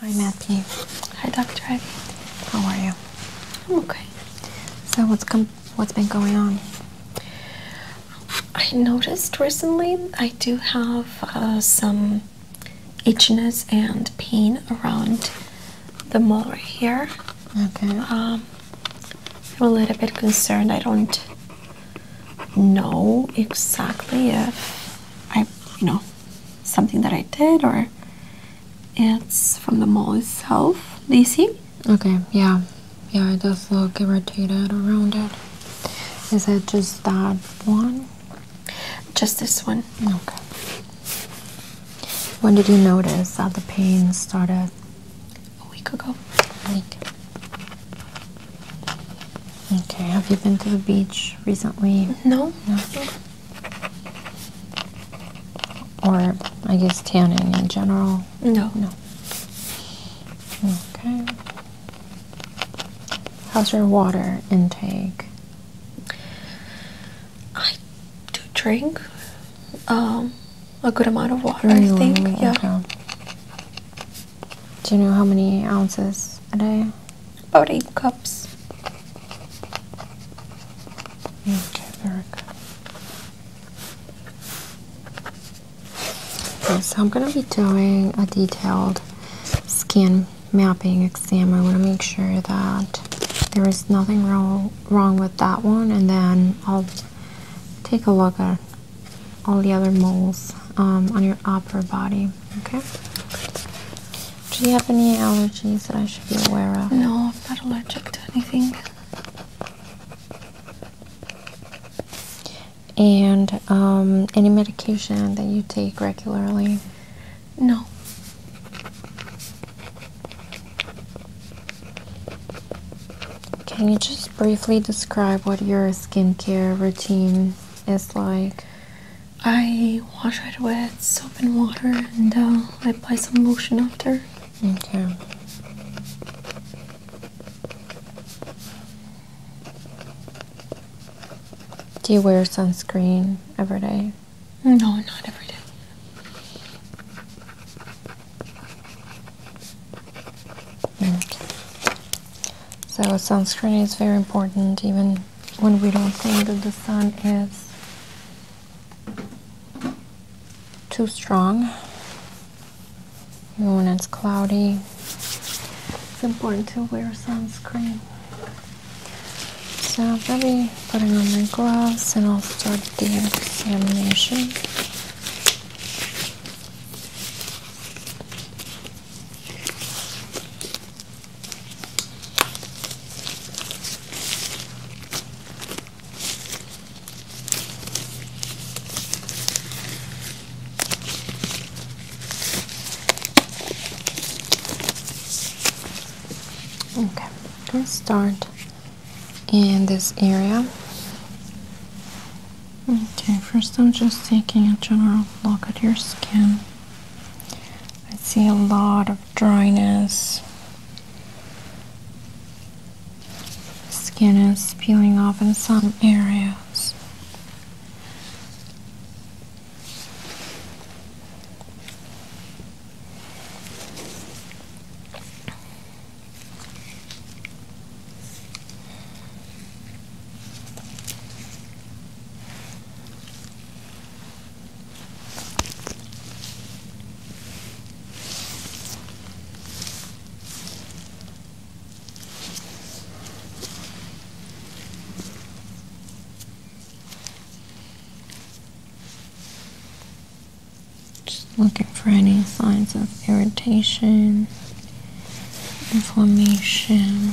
Hi, Matthew. Hi, Dr. Ivy. How are you? I'm okay. So what's come? What's been going on? I noticed recently I do have uh, some itchiness and pain around the molar here. Okay. Um, I'm a little bit concerned. I don't know exactly if I, you know, something that I did or it's from the mall itself. Do you Okay, yeah. Yeah, it does look irritated or rounded. Is it just that one? Just this one. Okay. When did you notice that the pain started? A week ago. A week. Okay, have you been to the beach recently? No. no. Or, I guess, tanning in general? No. No. Okay. How's your water intake? I do drink um, a good amount of water, I think. Yeah. Do you know how many ounces a day? about eight cups. Okay, very so I'm going to be doing a detailed skin mapping exam. I want to make sure that there is nothing wrong wrong with that one, and then I'll take a look at all the other moles um, on your upper body. Okay. Do you have any allergies that I should be aware of? No, I'm not allergic to anything. And um, any medication that you take regularly? No. Can you just briefly describe what your skincare routine is like? I wash it with soap and water, and uh, I apply some lotion after. Okay. Do you wear sunscreen every day? No, not every day. Okay. So sunscreen is very important even when we don't think that the sun is too strong, even when it's cloudy, it's important to wear sunscreen. So I'll be putting on my gloves and I'll start the examination. Okay, let's start in this area. Okay, first I'm just taking a general look at your skin. I see a lot of dryness. Skin is peeling off in some areas. Just looking for any signs of irritation, inflammation.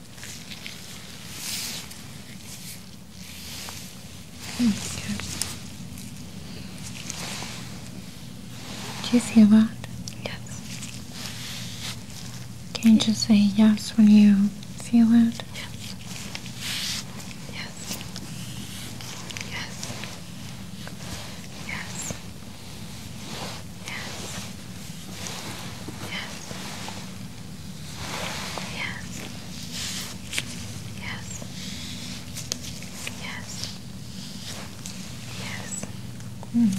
Thank you. Do you feel that? Yes. Can you just say yes when you feel it? Yes. Yes. Yes. Yes. Yes. Yes. Yes. Yes. Yes. Hmm.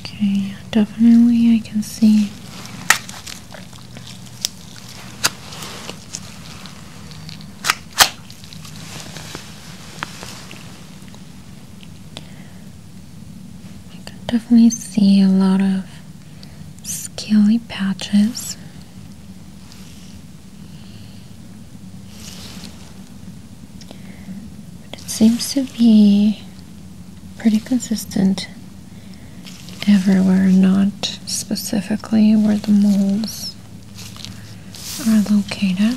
Okay, definitely I can see I can definitely see a lot of scaly patches. But it seems to be pretty consistent everywhere, not specifically where the moles are located.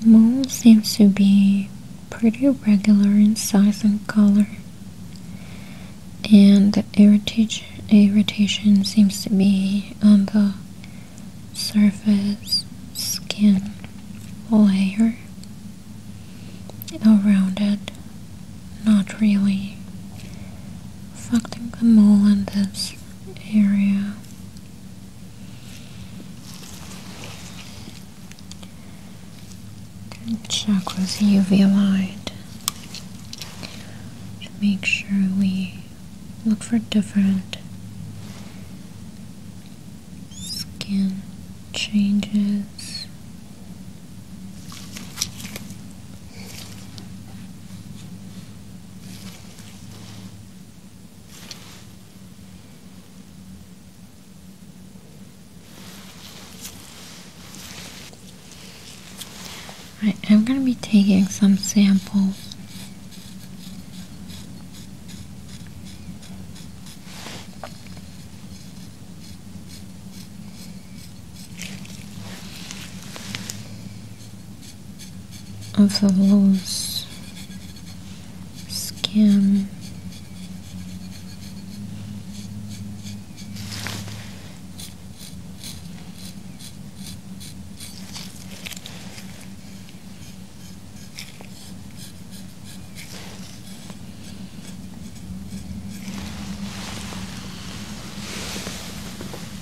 The mole seems to be pretty regular in size and color, and the irritation, seems to be on the surface skin layer around it, not really affecting the mole in this area. check with UV light to make sure we look for different skin changes I'm going to be taking some samples of the loose skin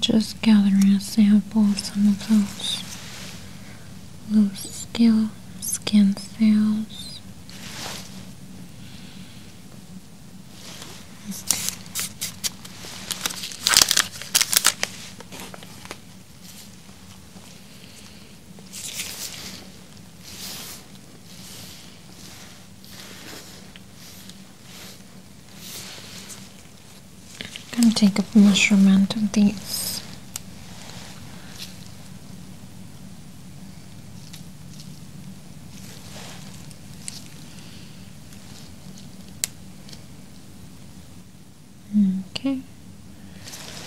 Just gathering a sample of some of those little scale skin cells. I'm going to take a measurement of these. Okay,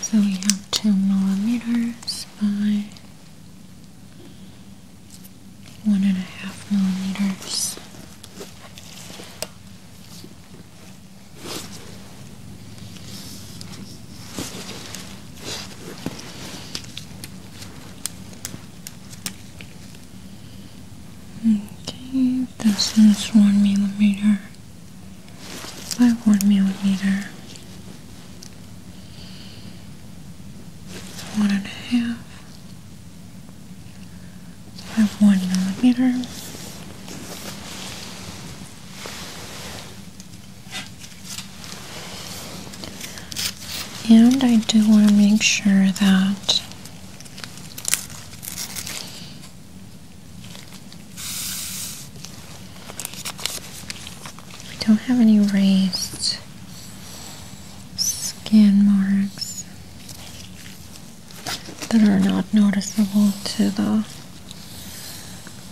so we have two millimeters by one and a half millimeters. Okay, this is one millimeter Five one millimeter, one and a half by one millimeter. And I do want to make sure that we don't have any raised skin marks that are not noticeable to the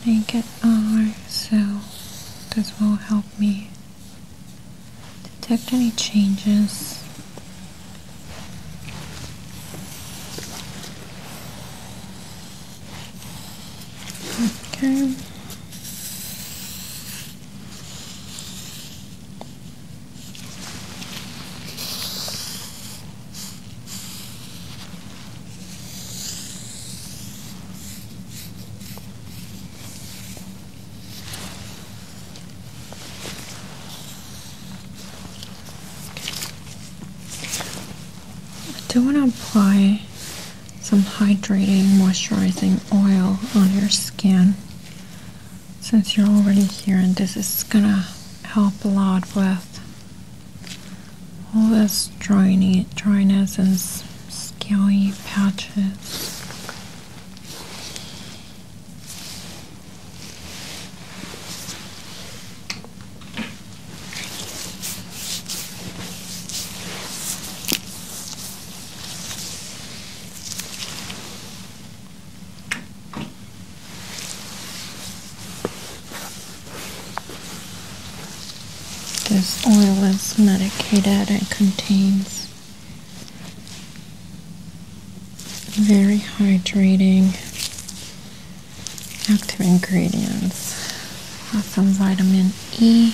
naked eye, so this will help me detect any changes okay I do want to apply some hydrating moisturizing oil on your skin since you're already here and this is gonna help a lot with all this dryness and scaly patches. This oil is medicated. It contains very hydrating active ingredients. Has some vitamin E.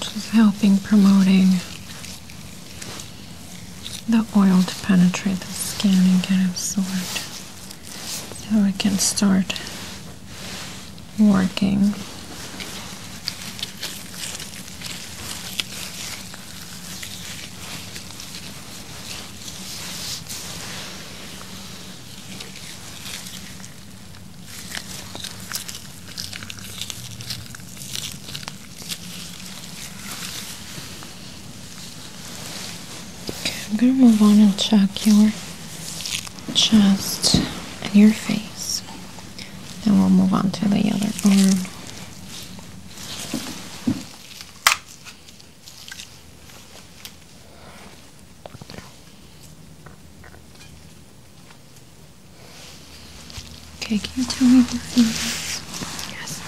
which is helping promoting the oil to penetrate the skin and get absorbed so it can start working. Okay, I'm gonna move on and check your chest and your face. and we'll move on to the other arm. Okay, can you tell me what food is? Yes.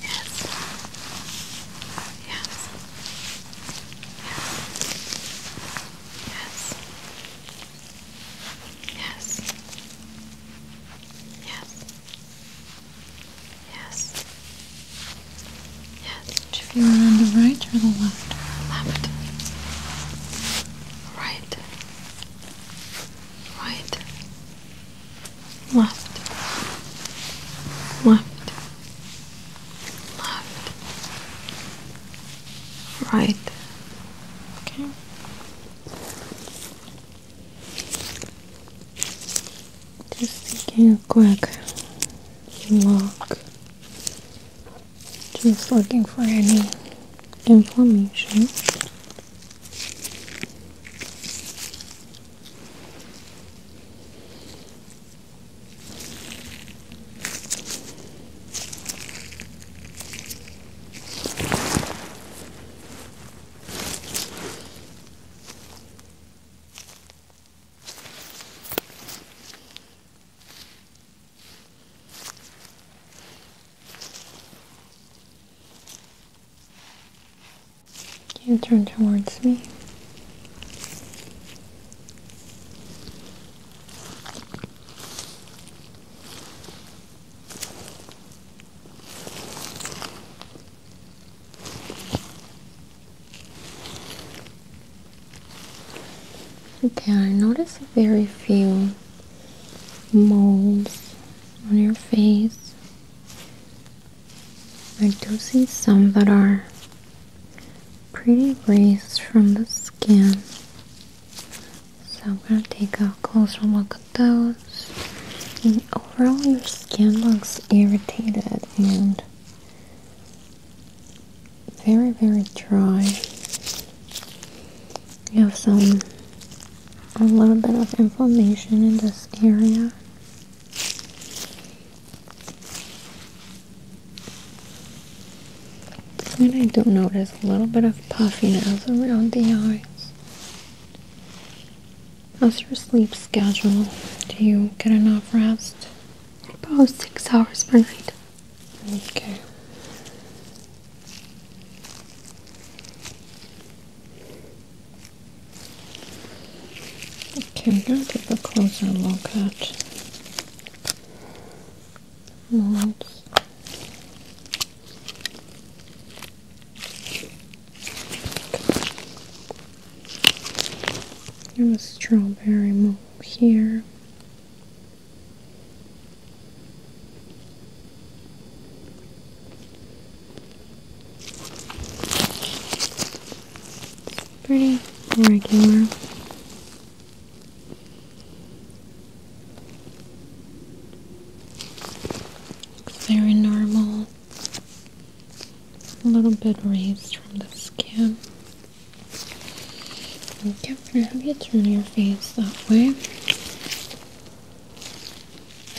Yes. Yes. Yes. Yes. Yes. Yes. Yes. Yes. Which of you are on the right or the left? Left. Right. Right. Left. Left. Left. Right. Okay. Just taking a quick look just looking for any inflammation. You turn towards me. Okay, I notice very few moles on your face. I do see some that are pretty raised from the skin. So I'm going to take a closer look at those. And overall, your skin looks irritated and very, very dry. You have some, a little bit of inflammation in this area. And I do not notice a little bit of puffiness around the eyes. How's your sleep schedule? Do you get enough rest? About six hours per night. Okay. Okay, we're going to take a closer look at molds. There's a strawberry mole here. Pretty regular. very normal. A little bit raised from the skin. Okay, I'm gonna have you turn your face that way.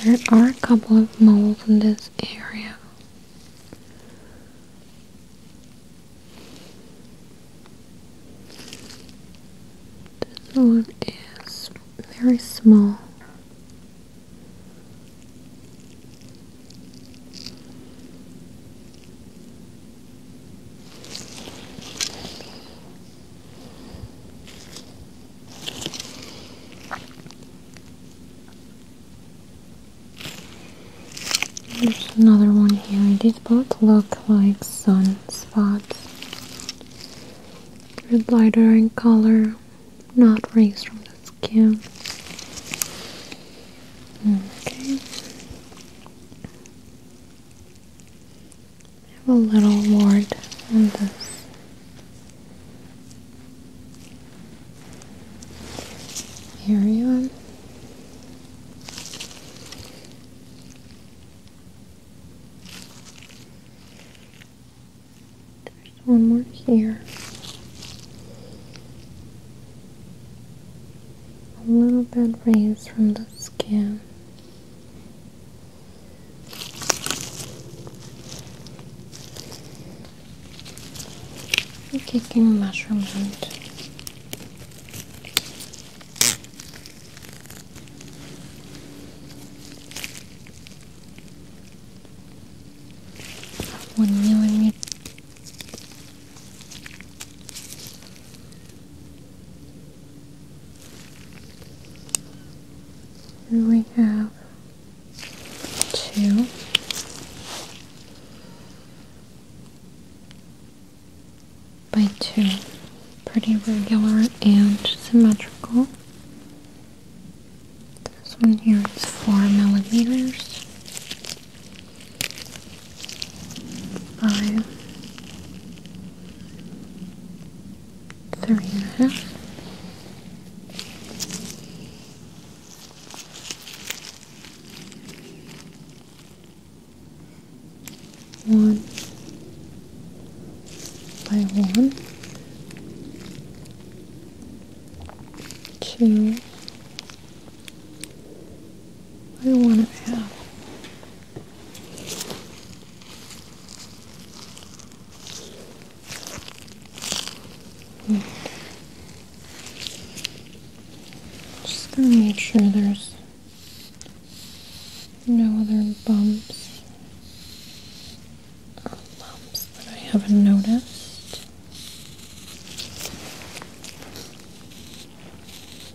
There are a couple of moles in this area. This one is very small. There's another one here. These both look like sun spots. They're lighter in color, not raised from the skin. Okay. I have a little ward on this. Area. There's one more here a little bit raised from the skin. I'm taking measurement. One millimeter and we have two. By two, pretty regular and symmetrical. This one here is four millimeters five, three and a half, one by one, two. I want to have. Okay. Just gonna make sure there's no other bumps or uh, lumps that I haven't noticed.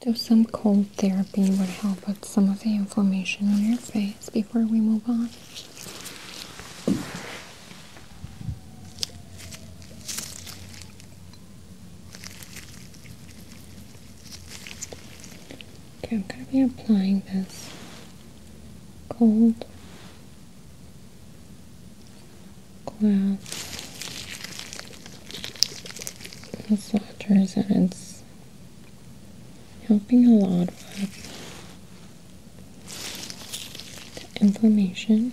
Do some cold therapy would help with some of the inflammation on your face before we move on. Okay, I'm going to be applying this cold glass massagers and it's helping a lot with inflammation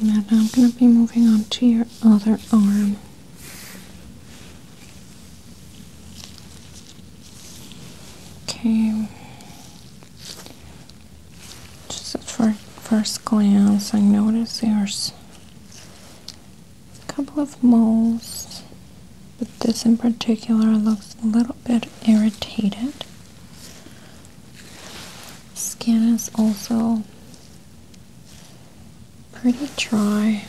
Okay, now I'm going to be moving on to your other arm. Okay, just at first glance, I notice there's a couple of moles, but this in particular looks a little bit irritated. Skin is also pretty dry.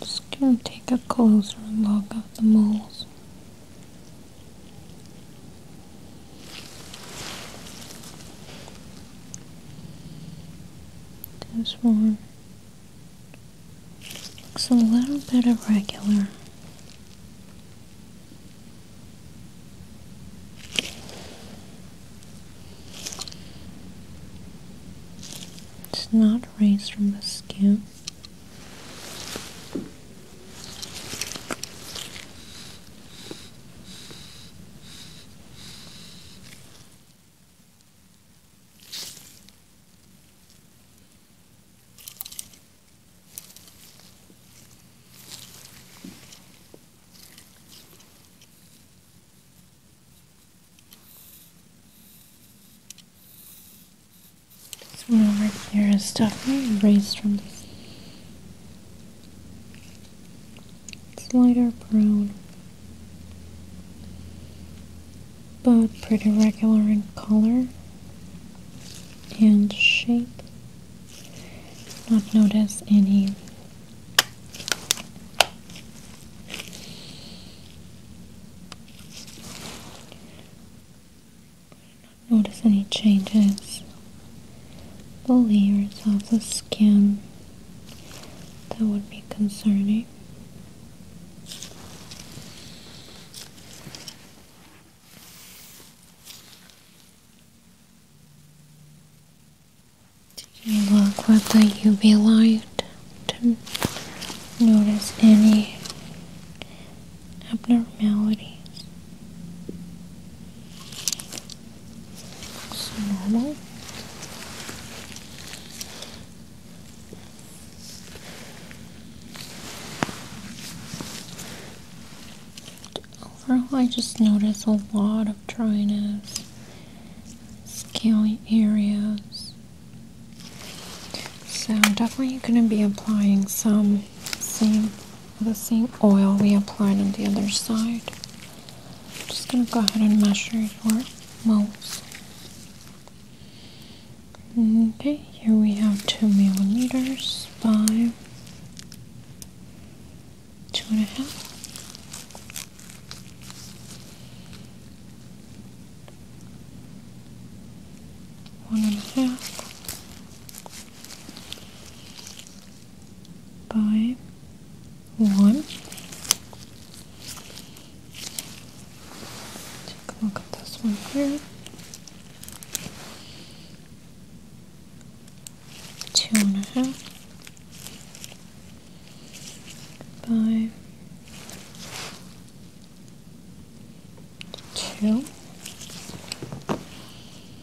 Just gonna take a closer look at the moles. This one looks a little bit irregular. It's not raised from the skin. This one right here is definitely erased from this it's brown, but pretty regular in color and shape. Not notice any Notice any changes, the layers of the skin that would be concerning. Did you look with the UV light to notice any abnormalities? Looks normal. Overall, I just notice a lot of dryness, scaly areas. So, definitely going to be applying some the same oil we applied on the other side. just going to go ahead and measure your moles. Okay, here we have two millimeters by two and a half, one and a half by one. Take a look at this one here. Two and a half by two.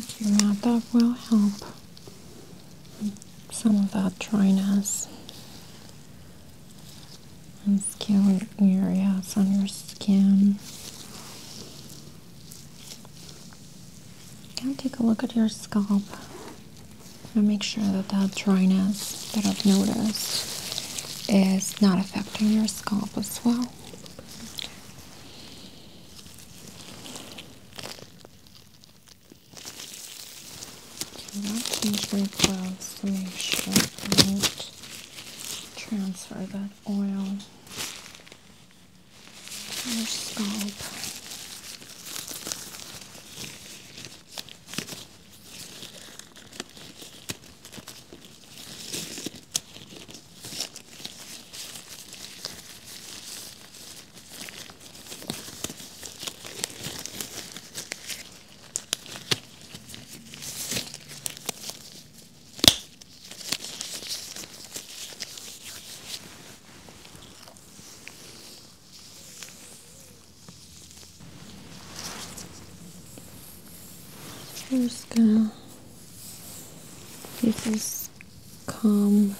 Okay, now that will help some of that dryness and scaly areas on your skin. Now take a look at your scalp and make sure that that dryness that I've noticed is not affecting your scalp as well. Okay, that change my clothes to make sure I don't transfer that oil to your scalp. I'm just gonna use this comb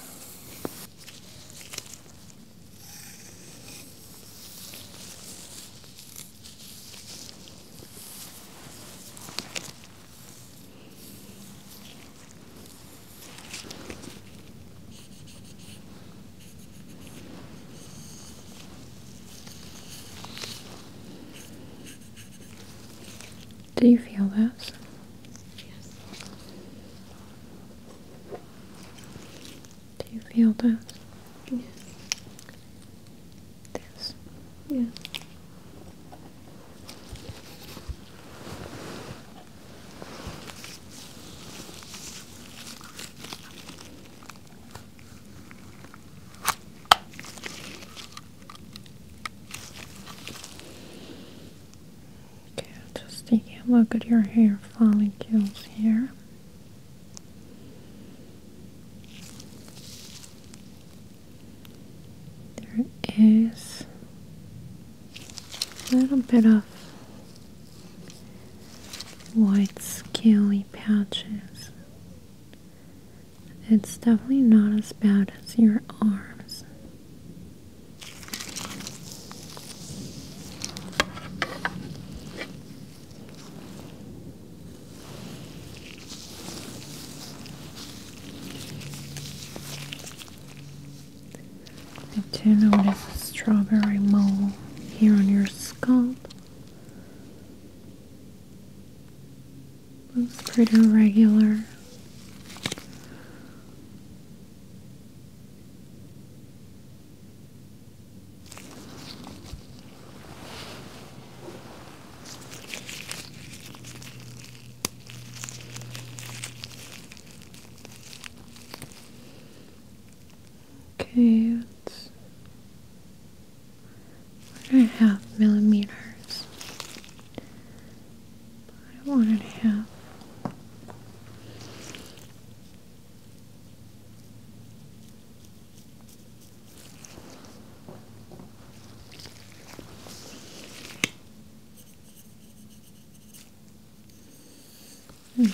do you feel this? Yes. Do you feel this? Yes. This? Yes. Okay, just taking a look at your hair follicles here. There is a little bit of white scaly patches. It's definitely not as bad as your arms. I do notice a strawberry mole here on your scalp. Looks pretty regular. Okay, it's one and a half millimeters. I want it to have. Okay.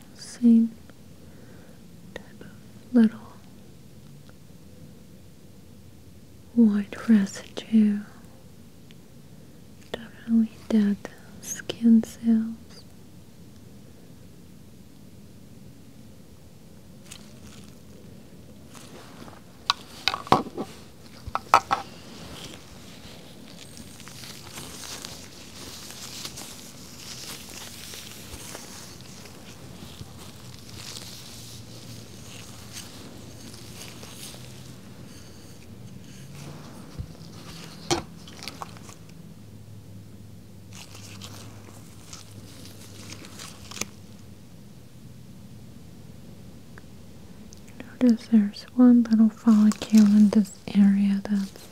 same type of little white residue. Definitely dead skin cells. Notice there's one little follicle in this area that's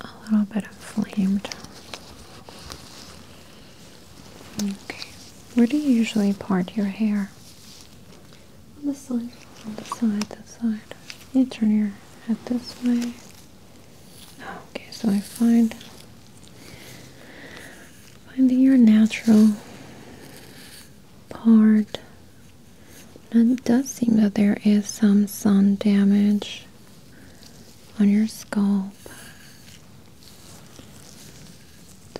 a little bit inflamed. Okay, where do you usually part your hair? On the side. On the side, this side. You turn your head this way. Okay, so I find finding your natural part and it does seem that there is some sun damage on your scalp.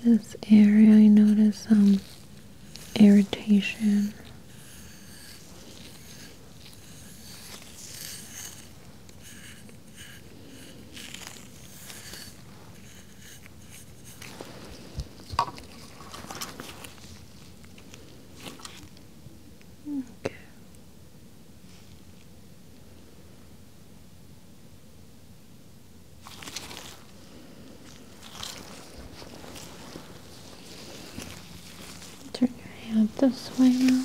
This area, I notice some irritation. Okay. Turn your head this way now.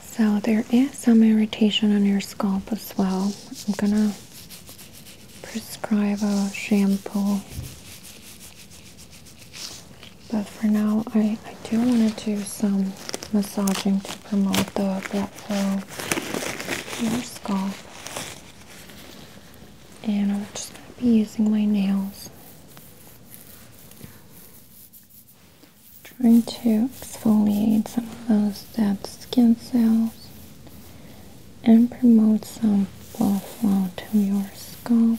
So there is some irritation on your scalp as well. I'm gonna prescribe a shampoo. But for now, I, I do want to do some massaging to promote the blood flow to your scalp. And I'm just going to be using my nails. Trying to exfoliate some of those dead skin cells and promote some blood flow to your scalp.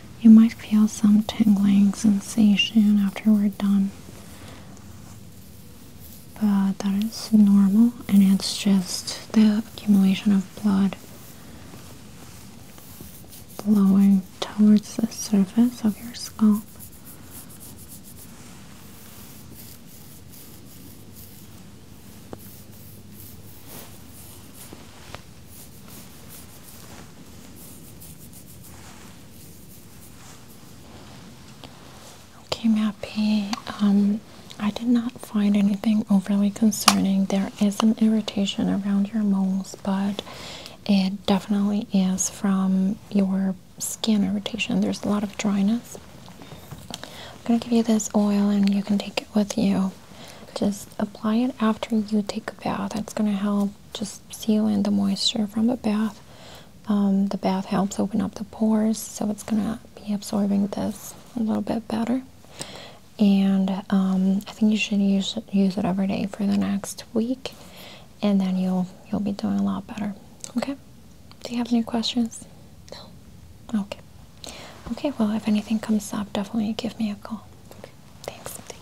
You might feel some tingling sensation after we're done, but that is normal and it's just the accumulation of blood flowing towards the surface of your scalp. Okay, Mappy. Um, I did not find anything overly concerning. There is an irritation around your moles, but it definitely is from your skin irritation. There's a lot of dryness. I'm gonna give you this oil, and you can take it with you. Just apply it after you take a bath. It's gonna help just seal in the moisture from the bath. Um, the bath helps open up the pores, so it's gonna be absorbing this a little bit better. And um, I think you should use use it every day for the next week, and then you'll you'll be doing a lot better. Okay. Do you have any questions? No. Okay. Okay. Well, if anything comes up, definitely give me a call. Thanks.